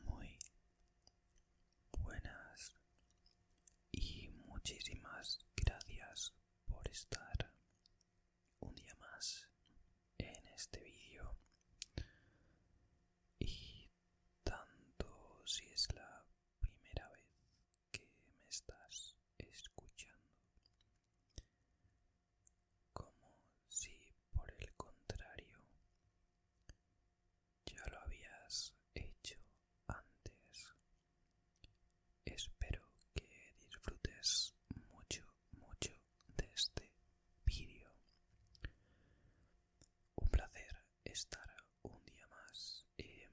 Muy buenas y muchísimas gracias por estar un día más en este vídeo y tanto si es la primera vez que me estás escuchando como si por el contrario ya lo habías hecho antes. Espero que disfrutes mucho, mucho de este vídeo. Un placer estar un día más. y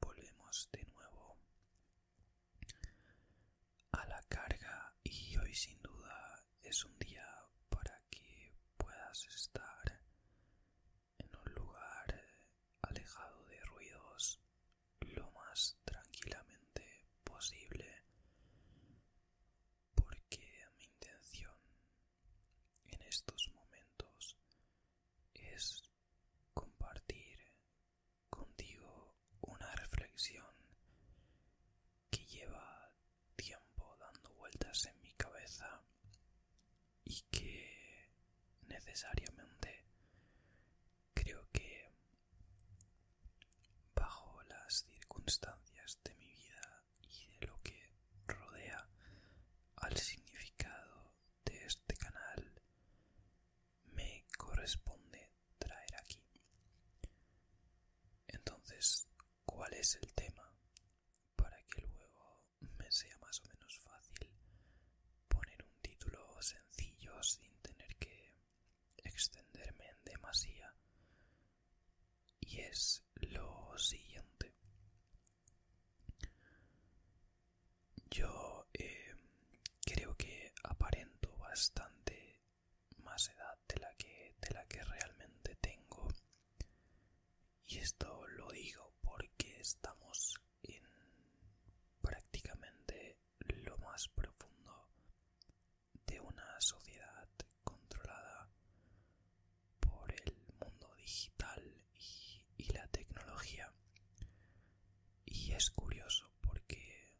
volvemos de nuevo a la carga y hoy sin duda es un día para que puedas estar en un lugar alejado de ruidos lo más tranquilamente posible porque mi intención en estos momentos es compartir contigo una reflexión que lleva tiempo dando vueltas en mi cabeza y que necesariamente creo que bajo las circunstancias de mi vida y de lo que rodea al significado de este canal me corresponde traer aquí. Entonces, ¿cuál es el tema? Para que luego me sea más o menos fácil poner un título sencillo sin tener que extenderme en demasía. Y es lo siguiente. Yo eh, creo que aparento bastante más edad de la que, realmente tengo. Y esto lo digo porque estamos en prácticamente lo más profundo de una sociedad controlada por el mundo digital y la tecnología. Y es curioso porque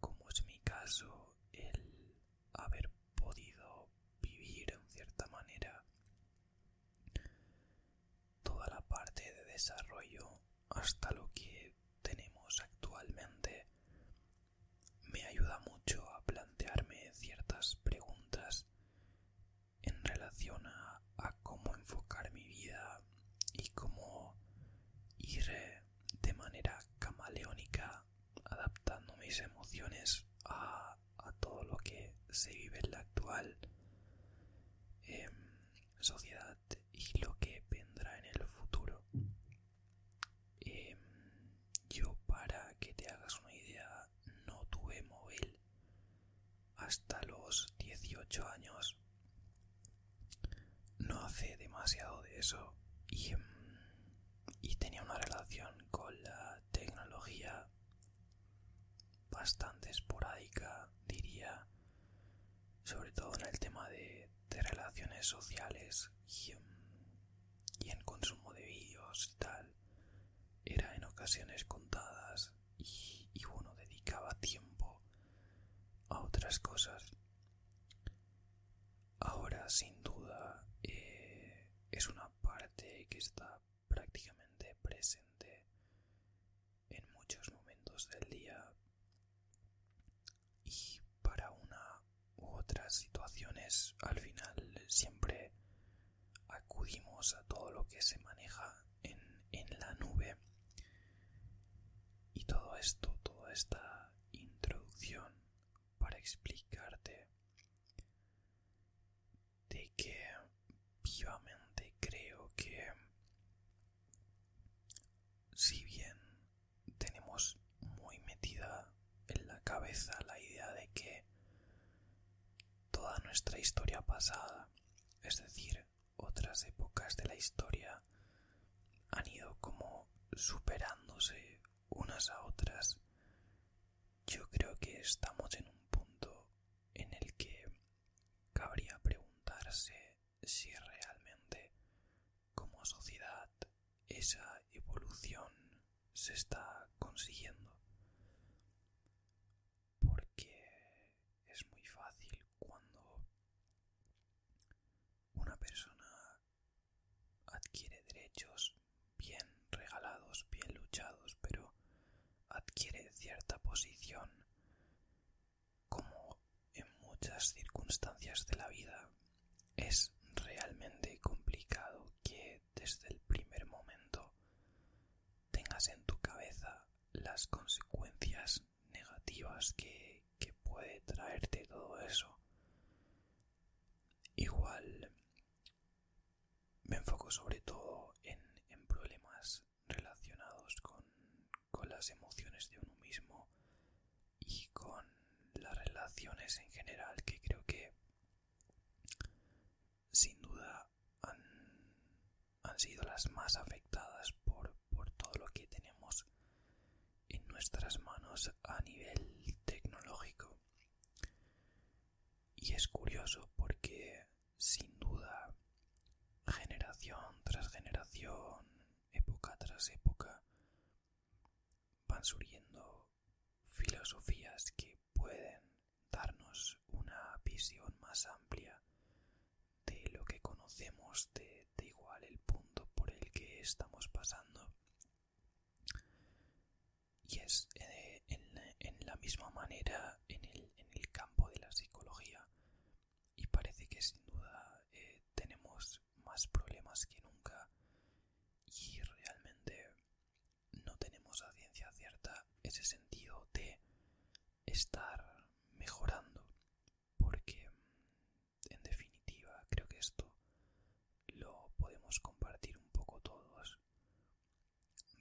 como es mi caso, el haber podido vivir en cierta manera toda la parte de desarrollo hasta lo que tenemos actualmente me ayuda mucho a plantearme ciertas preguntas en relación a, cómo enfocar mi vida y cómo ir de manera camaleónica adaptando mis emociones a, todo lo que se vive en la actual em, sociedad y lo que vendrá en el futuro. Em, yo para que te hagas una idea no tuve móvil hasta los 18 años no hace demasiado de eso mm, y, tenía una relación con la tecnología bastante esporádica, diría, sobre todo en el tema de, relaciones sociales mm, y, en consumo de vídeos y tal. Era en ocasiones contadas y, y bueno, dedicaba tiempo a otras cosas Ahora, sin duda, eh, es una parte que está prácticamente presente en muchos momentos del día y para una u otras situaciones al final siempre acudimos a todo lo que se maneja en la nube y todo esto, toda esta introducción para explicarte de que vivamente creo que si bien tenemos muy metida en la cabeza la idea de que toda nuestra historia pasada, es decir, otras épocas de la historia han ido como superándose unas a otras, yo creo que estamos en un punto en el que cabría preguntarse si realmente como sociedad esa evolución se está consiguiendo. Porque es muy fácil cuando una persona adquiere derechos bien regalados, bien luchados, pero adquiere cierta posición como en muchas circunstancias de la vida es realmente complicado que desde el primer momento tengas en tu cabeza las consecuencias negativas que, puede traerte todo eso. Igual me enfoco sobre todo en, problemas relacionados con, las emociones de uno mismo y con las relaciones en general que creo que sin duda han, sido las más afectadas por todo lo que tenemos en nuestras manos a nivel tecnológico. Y es curioso porque sin duda generación tras generación, época tras época, van surgiendo filosofías que pueden darnos una visión más amplia de lo que conocemos, de, igual el punto por el que estamos pasando. Y es eh, en, la misma manera en el, campo de la psicología. Y parece que sin duda eh, tenemos más problemas que nunca. Y realmente no tenemos a ciencia cierta ese sentido de estar mejorando. Porque en definitiva, creo que esto lo podemos compartir un poco todos.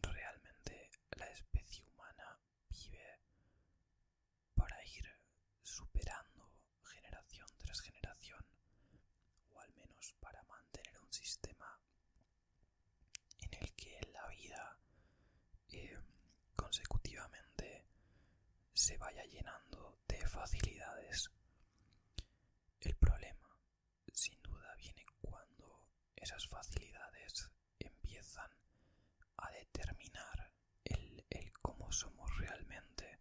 Realmente la especie humana vive para ir superando generación tras generación, o al menos para mantener un sistema en el que la vida eh, consecutivamente se vaya llenando de facilidades. El problema, sin duda, viene cuando esas facilidades empiezan a determinar el, cómo somos realmente.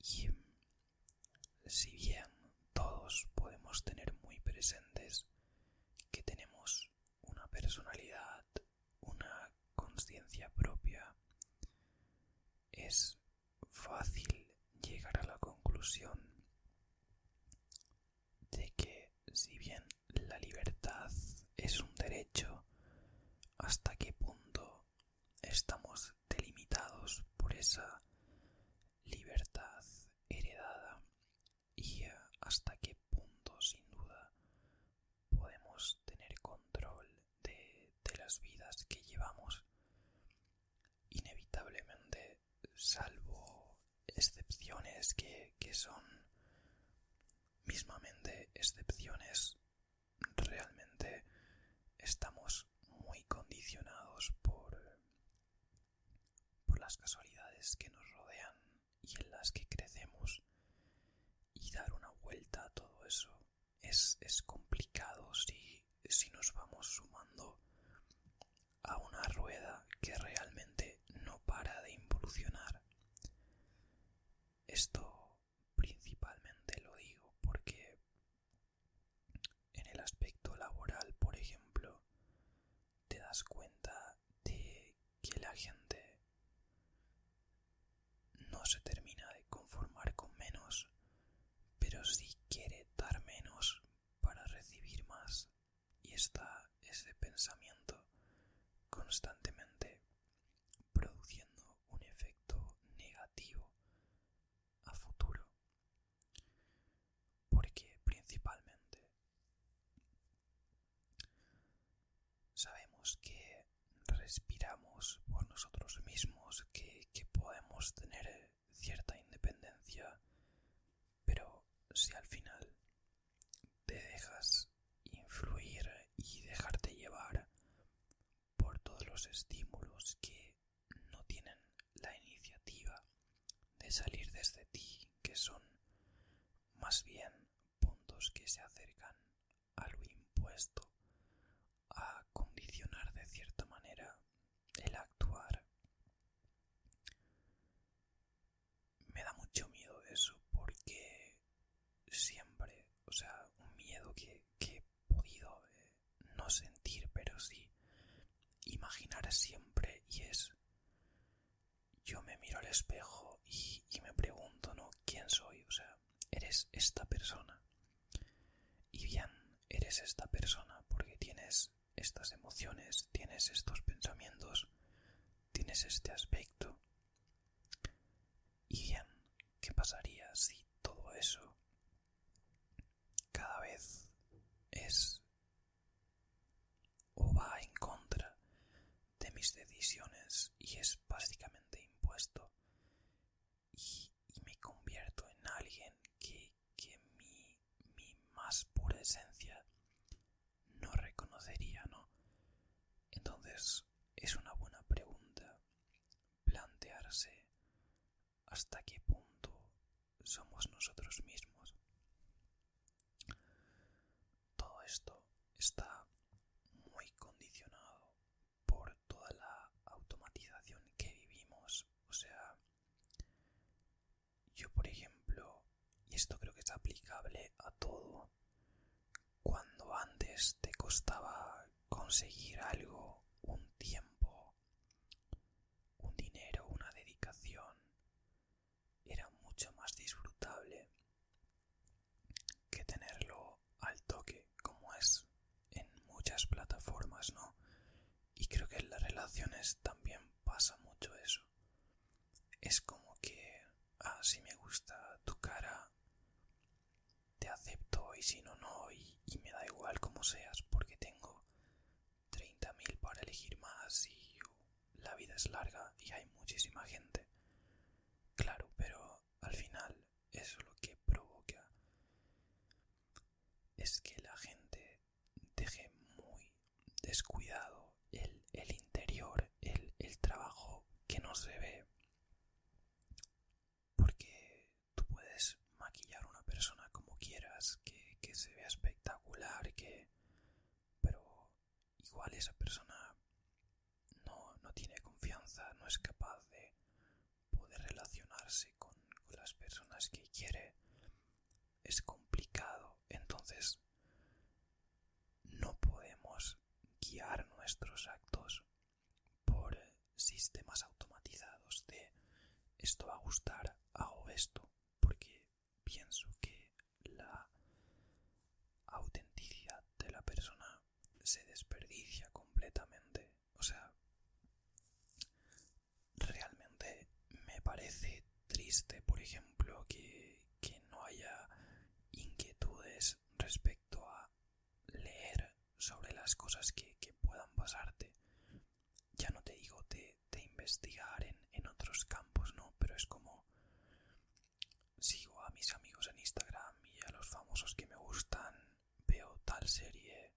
Y mm, si bien todos podemos tener muy presentes que tenemos una personalidad, una conciencia propia, es fácil llegar a la conclusión de que si bien la libertad es un derecho, hasta qué punto estamos delimitados por esa libertad heredada y eh, hasta qué punto sin duda podemos tener control de, las vidas que llevamos, inevitablemente, salvo excepciones que, son mismamente excepciones, realmente estamos muy condicionados por, por las casualidades que nos rodean y en las que crecemos y dar una vuelta a todo eso es, es complicado si, si nos vamos sumando a una rueda que realmente no para de involucionar. Esto principalmente lo digo porque en el aspecto laboral, por ejemplo, te das cuenta de que la gente no se termina de conformar con menos, pero sí quiere dar menos para recibir más y está ese pensamiento constantemente produciendo un efecto negativo a futuro porque principalmente Sabemos que respiramos por nosotros mismos, que, podemos tener cierta independencia, pero si al final te dejas influir y dejarte llevar por todos los estímulos que no tienen la iniciativa de salir desde ti, que son más bien puntos que se acercan a lo impuesto, a condicionar de cierta manera el actuar. Me da mucho miedo eso porque siempre, o sea, un miedo que, he podido eh, no sentir, pero sí imaginar siempre y es yo me miro al espejo y, me pregunto, ¿no? ¿Quién soy? O sea, eres esta persona. Y bien, eres esta persona porque tienes estas emociones, tienes estos pensamientos, tienes este aspecto. Y bien, ¿qué pasaría si todo eso cada vez es o va en contra de mis decisiones y es básicamente impuesto y, me convierto en alguien que, que mi, mi más pura esencia no reconocería, ¿no? Entonces es una buena pregunta plantearse hasta qué punto somos nosotros mismos. Todo esto está muy condicionado por toda la automatización que vivimos. O sea, yo por ejemplo, y esto creo que es aplicable a todo, cuando antes te costaba conseguir algo, un tiempo, un dinero, una dedicación, era mucho más disfrutable que tenerlo al toque como es en muchas plataformas no y creo que en las relaciones también pasa mucho eso es como que ah, si me gusta tu cara te acepto y si no no y, me da igual como seas porque tengo 30.000 para elegir más y la vida es larga y hay muchísima gente. Claro, pero al final eso lo que provoca es que la gente deje muy descuidado el, interior, el, trabajo que no se ve. Porque tú puedes maquillar una persona como quieras, que, que se vea espectacular, que... Pero igual esa persona no, no tiene confianza, no es capaz de poder relacionarse con, con las personas que quiere, es complicado, entonces no podemos guiar nuestros actos por sistemas automatizados de esto va a gustar, hago esto, porque pienso que la autenticidad de la persona se desperdicia completamente. O sea, realmente me parece triste, por ejemplo, que, que no haya inquietudes respecto a leer sobre las cosas que, que puedan pasarte. Ya no te digo de, investigar en otros campos, ¿no? Pero es como Sigo a mis amigos en Instagram y a los famosos que me gustan, veo tal serie,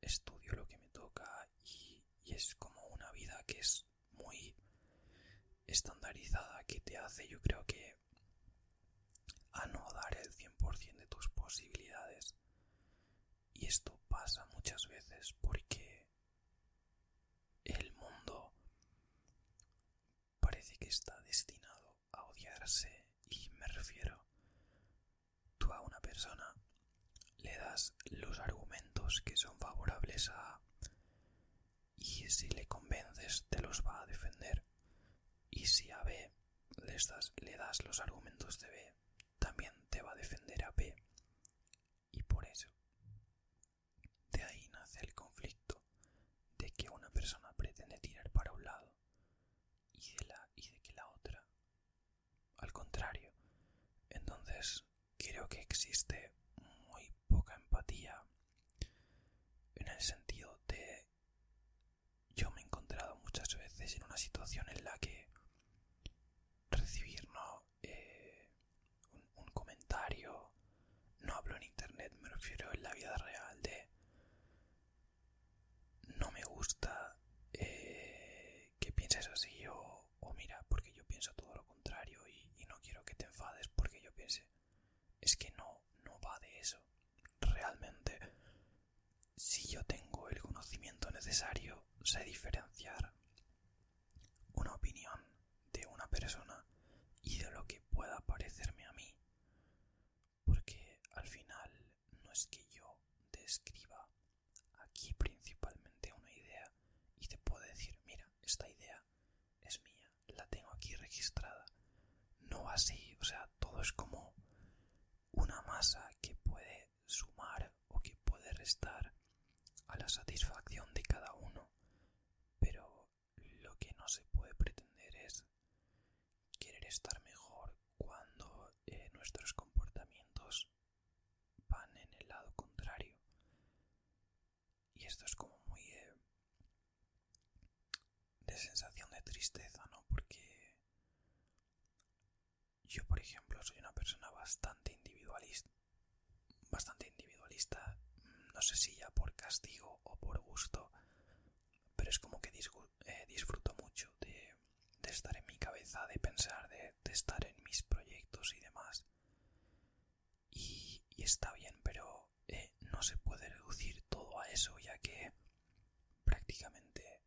estudio lo que me toca y, es como una vida que es muy estandarizada que te hace yo creo que a no dar el 100% de tus posibilidades. Y esto pasa muchas veces porque el mundo parece que está destinado a odiarse y me refiero tú a una persona le das los argumentos que son favorables a y si le convences te los va a defender y si a B le das, le das los argumentos de B también te va a defender a B y por eso de ahí nace el conflicto de que una persona pretende tirar para un lado y de, la, que la otra, al contrario. Entonces, creo que existe muy poca empatía en el sentido de yo me he encontrado muchas veces en una situación en la que recibir no eh, un, comentario, no hablo en internet, me refiero en la vida real de no me gusta eh, que pienses así o, o mira, porque yo pienso todo lo contrario y, no quiero que te enfades porque yo piense. Es que no, no va de eso. Realmente, si yo tengo el conocimiento necesario, sé diferenciar una opinión de una persona y de lo que pueda parecerme a mí. Porque al final no es que yo describa aquí principalmente una idea y te puedo decir, mira, esta idea es mía, la tengo aquí registrada. No así, o sea, todo es como una masa que puede sumar o que puede restar a la satisfacción de cada uno, pero lo que no se puede pretender es querer estar mejor cuando eh, nuestros comportamientos van en el lado contrario. Y esto es como muy eh, de sensación de tristeza, ¿no? Porque yo, por ejemplo, soy una persona bastante individualista bastante individualista, mm, no sé si ya por castigo o por gusto, pero es como que eh, disfruto mucho de, estar en mi cabeza, de pensar, de, estar en mis proyectos y demás. Y, está bien, pero eh, no se puede reducir todo a eso, ya que prácticamente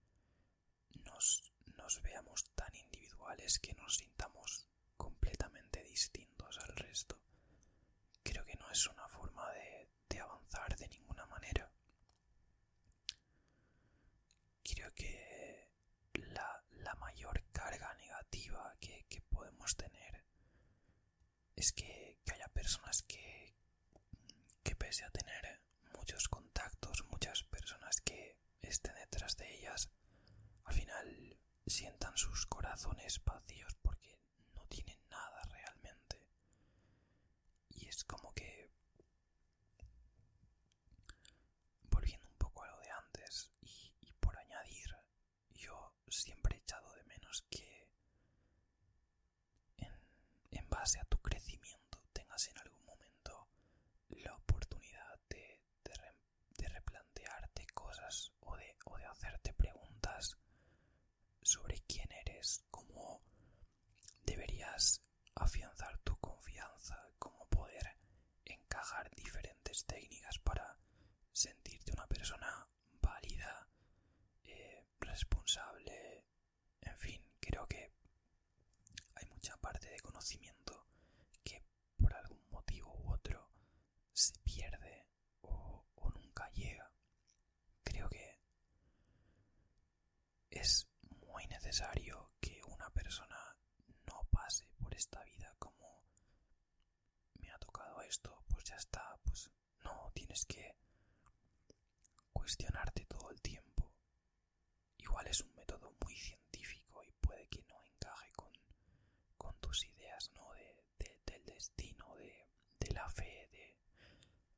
nos veamos tan individuales que nos sintamos completamente distintos al resto. Creo que no es una forma de, avanzar de ninguna manera. Creo que la, mayor carga negativa que, podemos tener es que, que haya personas que, que pese a tener muchos contactos, muchas personas que estén detrás de ellas, al final sientan sus corazones vacíos porque no tienen nada realmente. Y es como que... Volviendo un poco a lo de antes y, por añadir, yo siempre he echado de menos que en base a tu crecimiento tengas en algún momento la oportunidad de de, replantearte cosas o de, hacerte preguntas sobre quién eres, cómo deberías afianzar tu confianza, cómo poder encajar diferentes técnicas para sentirte una persona válida, eh, responsable, en fin, creo que hay mucha parte de conocimiento que por algún motivo u otro se pierde o, o nunca llega. Creo que es muy necesario que una persona no pase por esta vida como me ha tocado esto, pues ya está, pues no, tienes que cuestionarte todo el tiempo. Igual es un método muy científico y puede que no encaje con con tus ideas ¿no? de, del destino, de, de la fe, de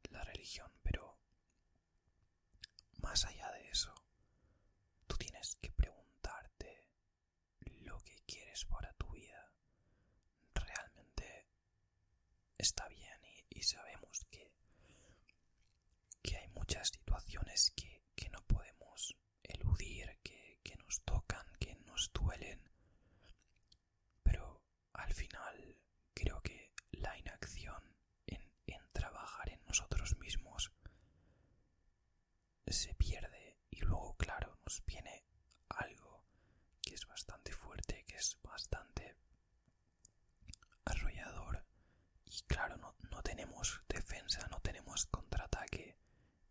la religión, pero más allá de eso, tú tienes que preguntarte lo que quieres para tu vida. Realmente está bien y, y sabemos que, que hay muchas situaciones que, que no podemos eludir, que, nos tocan, que nos duelen. Pero al final creo que la inacción en, trabajar en nosotros mismos se pierde y luego, claro, nos viene algo que es bastante fuerte, que es bastante arrollador y claro, no tenemos defensa, no tenemos contraataque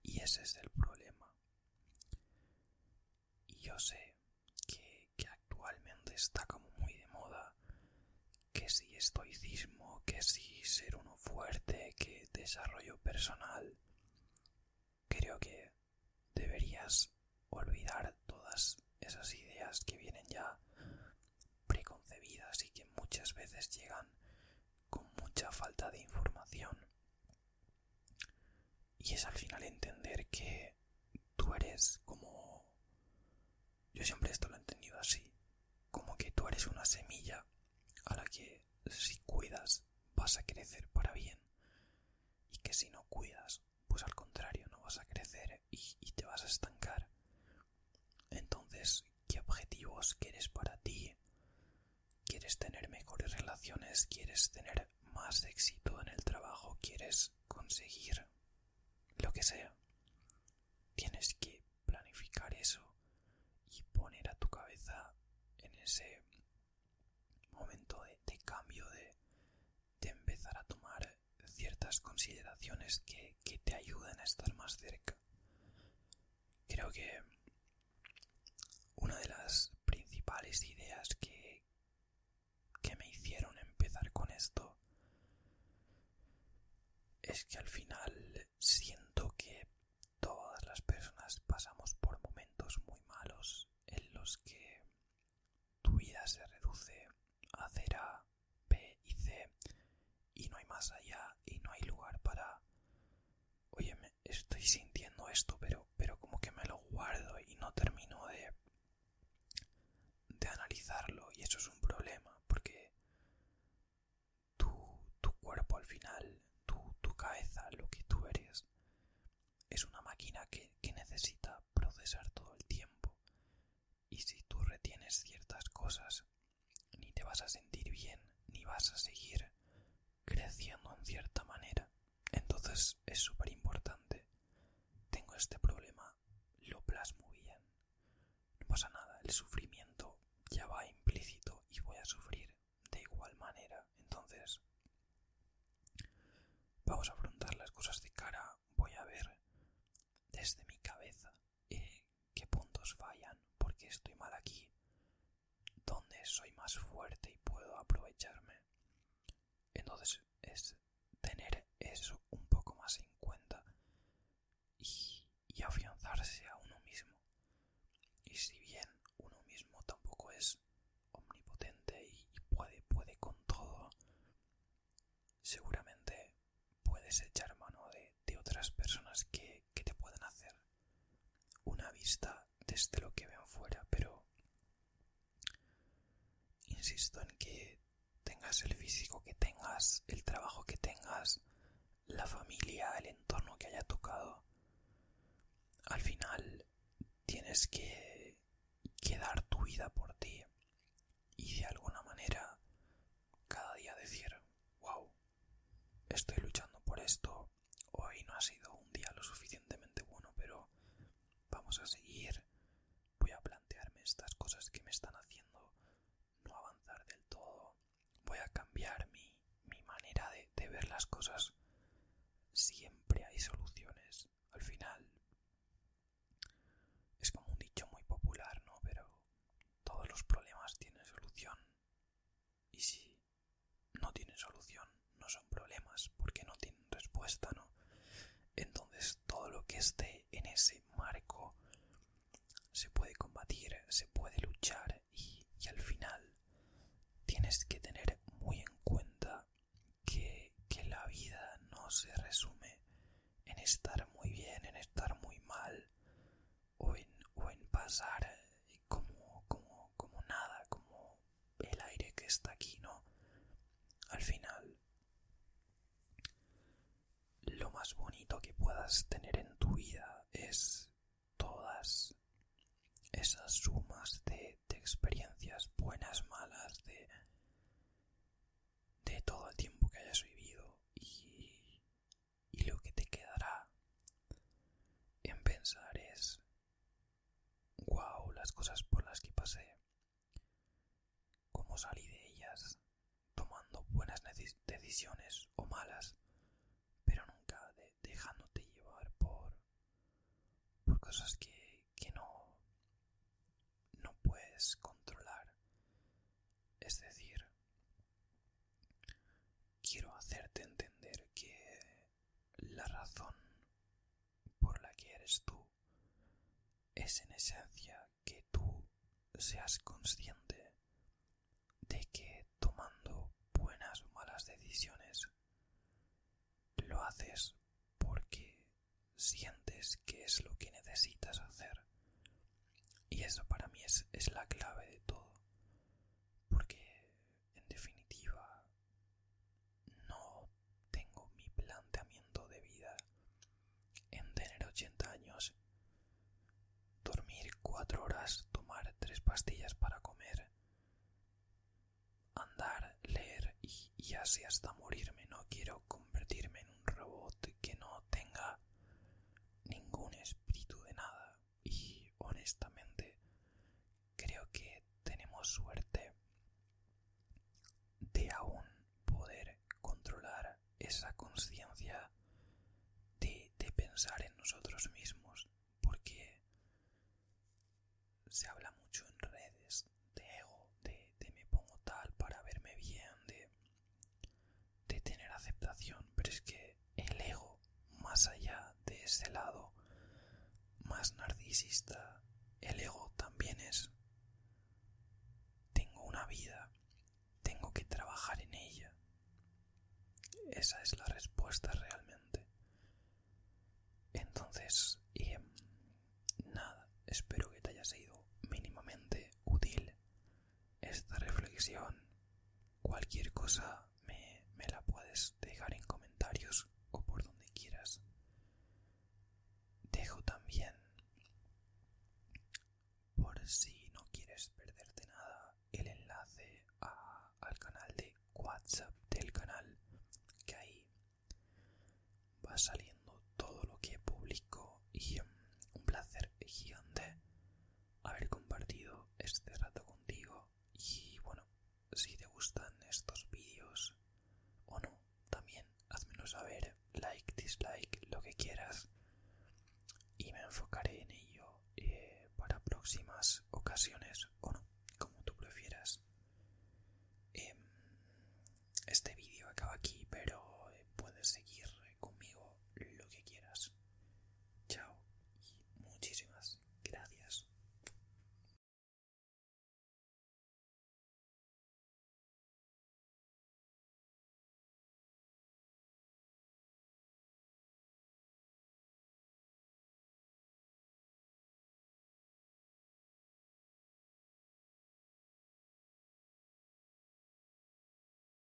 y ese es el problema. Y yo sé que, que actualmente está como muy de moda que si estoicismo, que si ser uno fuerte, que desarrollo personal. Creo que deberías olvidar todas esas ideas que vienen ya preconcebidas y que muchas veces llegan con mucha falta de información. Y es al final entender que tú eres como... Yo siempre esto lo he entendido así, como que tú eres una semilla a la que si cuidas vas a crecer para bien y que si no cuidas pues al contrario no vas a crecer y, te vas a estancar. Entonces, ¿qué objetivos quieres para ti? quieres tener mejores relaciones, quieres tener más éxito en el trabajo, quieres conseguir lo que sea. Tienes que planificar eso y poner a tu cabeza en ese momento de, cambio, de, empezar a tomar ciertas consideraciones que, que te ayuden a estar más cerca creo que una de las principales ideas que, que me hicieron empezar con esto es que al final siento que todas las personas pasamos por momentos muy malos en los que tu vida se reduce a hacer A, B y C y no hay más allá y no hay lugar para... Oye, estoy sintiendo esto, pero, pero como que me lo guardo y no termino de, de analizarlo y eso es un problema porque tu, cuerpo al final, tu, tu cabeza, lo que tú eres, es una máquina que necesita procesar todo el tiempo y si tú retienes ciertas cosas ni te vas a sentir bien, ni vas a seguir creciendo en cierta manera. Entonces es súper importante. Tengo este problema, lo plasmo bien. No pasa nada, el sufrimiento ya va implícito y voy a sufrir de igual manera. Entonces, vamos a afrontar las cosas de cara, voy a ver desde mi cabeza eh, qué puntos fallan, porque estoy mal aquí, donde soy más fuerte y puedo aprovecharme. Entonces es tener eso un poco más en cuenta y, afianzarse a uno mismo. Y si bien uno mismo tampoco es omnipotente y, puede, puede con todo, seguramente puedes echar mano de otras personas que, que te pueden hacer una vista desde lo que ven fuera, pero insisto en que tengas el físico que tengas, el trabajo que tengas, la familia, el entorno que haya tocado, al final tienes que, quedar tu vida por ti y de alguna manera cada día decir, wow, estoy luchando por esto, hoy no ha sido un día lo suficientemente bueno, pero vamos a seguir, voy a plantearme estas cosas que me están haciendo no avanzar del todo, voy a cambiar mi, manera de, de ver las cosas, siempre hay soluciones, al final es como un dicho muy popular, ¿no? Pero todos los problemas tienen solución y si no tienen solución, no son problemas porque no tienen respuesta, ¿no? Entonces todo lo que esté en ese marco se puede combatir, se puede luchar y, al final tienes que tener muy en cuenta que, que la vida no se resume en estar muy bien, en estar muy mal, o en, pasar eh, como, como, nada, como el aire que está aquí, ¿no? Al final, lo más bonito que puedas tener en tu vida es todas esas sumas de, experiencias buenas, malas, de, de todo el tiempo que hayas vivido y, y lo que te quedará en pensar es, wow, las cosas por las que pasé, cómo salí de ellas, tomando buenas decisiones o malas, pero nunca dejándote llevar por, por cosas que, que no, no puedes controlar. Es decir, Quiero hacerte entender que la razón por la que eres tú es en esencia que tú seas consciente de que tomando buenas o malas decisiones lo haces porque sientes que es lo que necesitas hacer y eso para mí es, la clave de todo. Porque, en definitiva, no tengo mi planteamiento de vida en tener 80 años, dormir 4 horas, tomar tres pastillas para comer, andar, leer y así hasta morirme. No quiero convertirme en un robot que no tenga ningún espíritu de nada y honestamente creo que tenemos suerte de aún poder controlar esa conciencia de, pensar en nosotros mismos porque se habla mucho en redes de ego de me pongo tal para verme bien de de tener aceptación, pero es que el ego, más allá de ese lado más narcisista, el ego también es, tengo una vida, tengo que trabajar en ella. Esa es la respuesta realmente. Entonces, em, nada, espero que te haya sido mínimamente útil esta reflexión, cualquier cosa me, la puedes dejar en comentarios o por donde quieras. Dejo también, por si no quieres perderte nada, el enlace al canal de WhatsApp del canal, que ahí va saliendo todo lo que publico y mm, un placer gigante haber compartido este rato contigo y bueno, si te gustan estos vídeos o no, también házmelo saber, like, dislike, lo que quieras y me enfocaré en ello eh, para próximas ocasiones o no, como tú prefieras. Em, este vídeo acaba aquí, pero eh, puedes seguir conmigo lo que quieras. Chao y muchísimas gracias.